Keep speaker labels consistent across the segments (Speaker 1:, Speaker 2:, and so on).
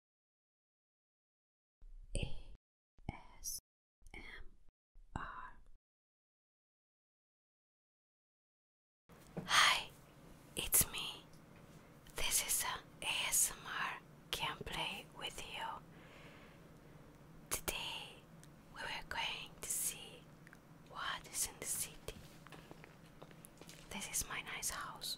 Speaker 1: ASMR. Hi, it's me. This is a ASMR gameplay with you. Today we are going to see what is in the city. This is my nice house.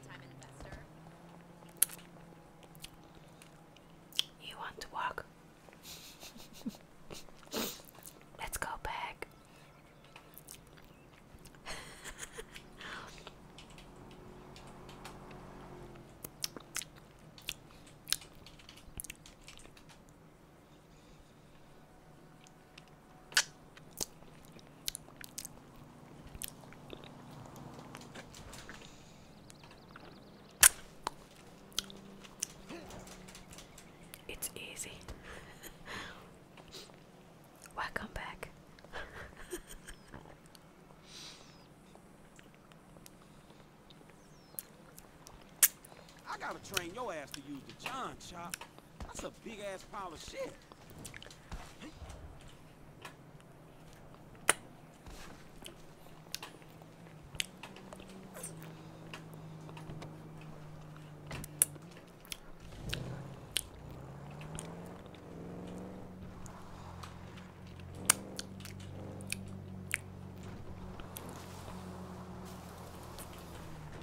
Speaker 1: You want to walk? Let's go back. It's easy. Welcome back. I gotta train your ass to use the John Chop. That's a big ass pile of shit.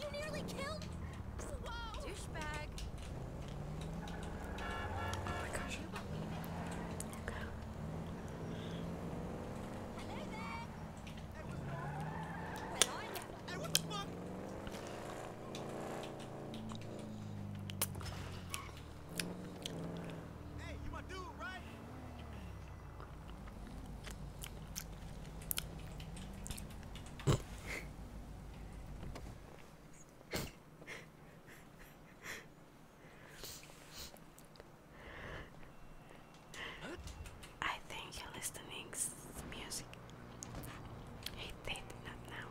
Speaker 1: You nearly killed. Whoa. Douchebag. Oh my gosh. Okay. Hello there. Well, I'm... Hey, you my dude, right? I think you're listening music. Hate that, not now.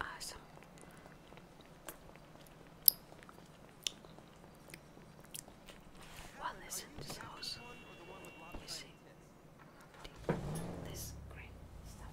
Speaker 1: Awesome. Well, listen, this you see this green stuff.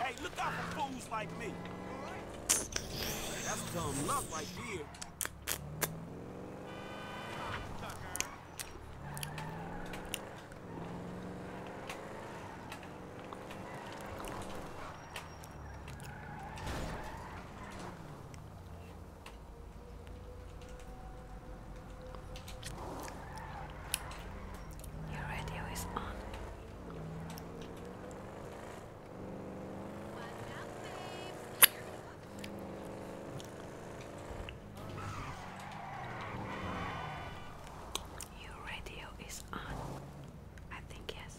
Speaker 1: Hey, look out for fools like me. That's dumb luck right there. Your radio is on. Your radio is on. I think yes.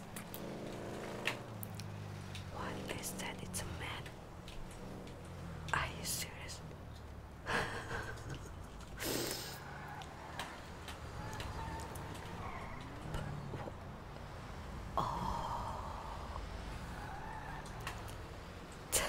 Speaker 1: What is that? It's a man. Are you serious? oh.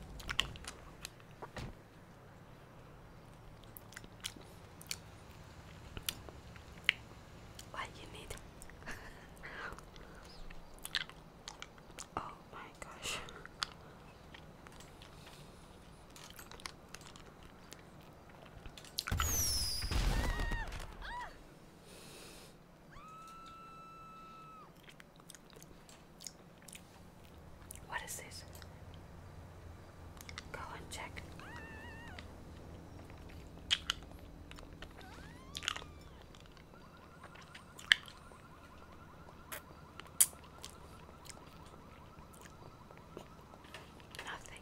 Speaker 1: What you need? oh my gosh. What is this? Go and check. Nothing.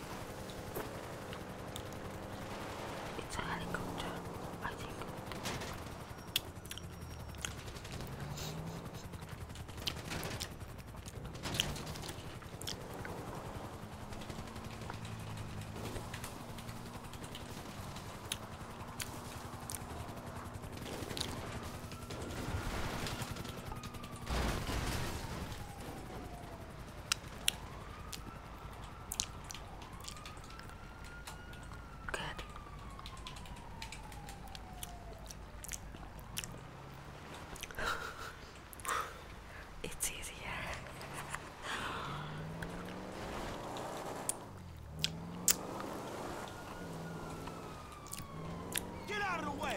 Speaker 1: It's a helicopter, I think. Good. it's easier. Get out of the way.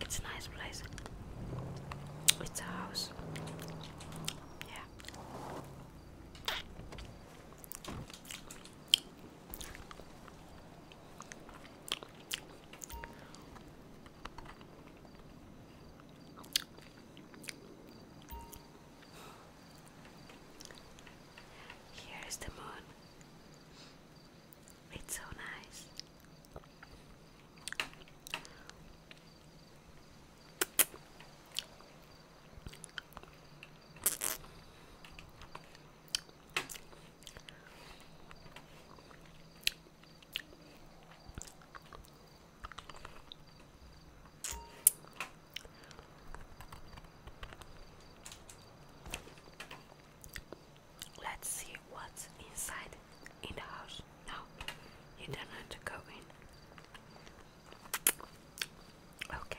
Speaker 1: It's a nice place. It's a house. Yeah. Here is the moon. It's so nice. Let's see what's inside in the house. No, you don't have to go in. Okay.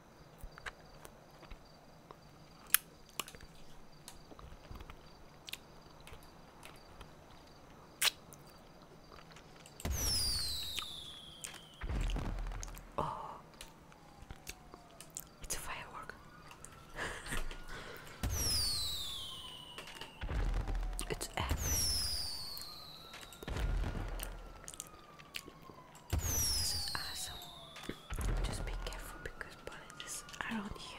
Speaker 1: Oh, it's a firework. it's epic. This is awesome. Just be careful because bullets are on you.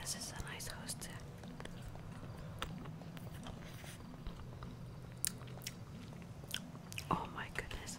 Speaker 1: This is a nice host. Oh my goodness.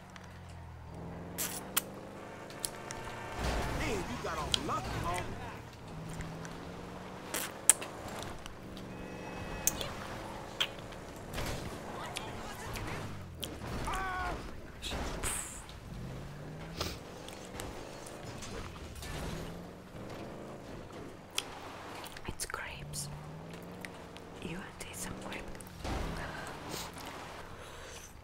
Speaker 1: It's grapes. You want to eat some grapes?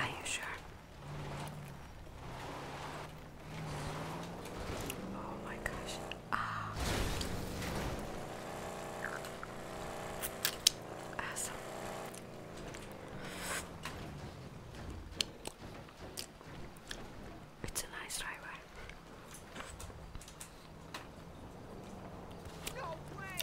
Speaker 1: Are you sure? Oh my gosh. Ah. Awesome. It's a nice driver. No way.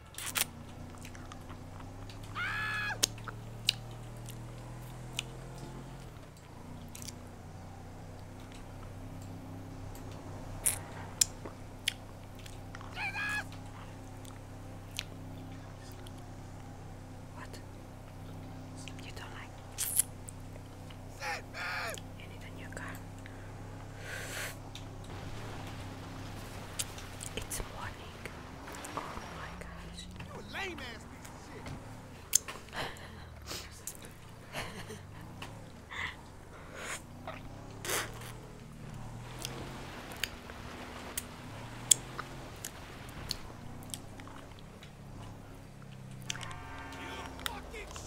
Speaker 1: What? You don't like? You need a new car. It's morning week. Oh my gosh. You a lame ass piece of shit. you fucking shit.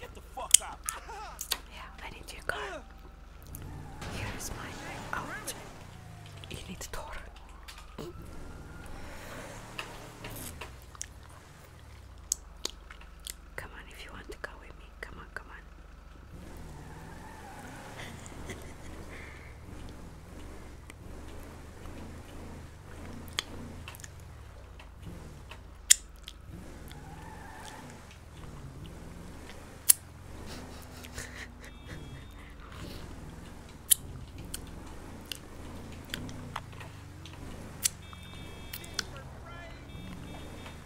Speaker 1: Get the fuck out. Yeah, I need your car. Here's my out. You need to talk. Come on, if you want to go with me. Come on, come on.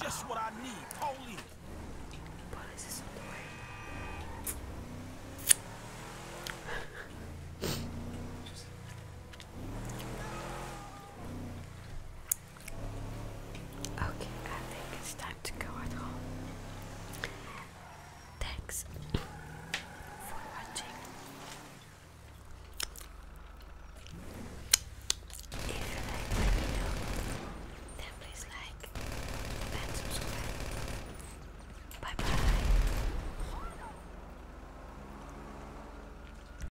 Speaker 1: Just what I need, holy. But is this on the way? Okay, I think it's time to go at home. Thanks for watching. If you like my video, then please like and subscribe. Bye bye.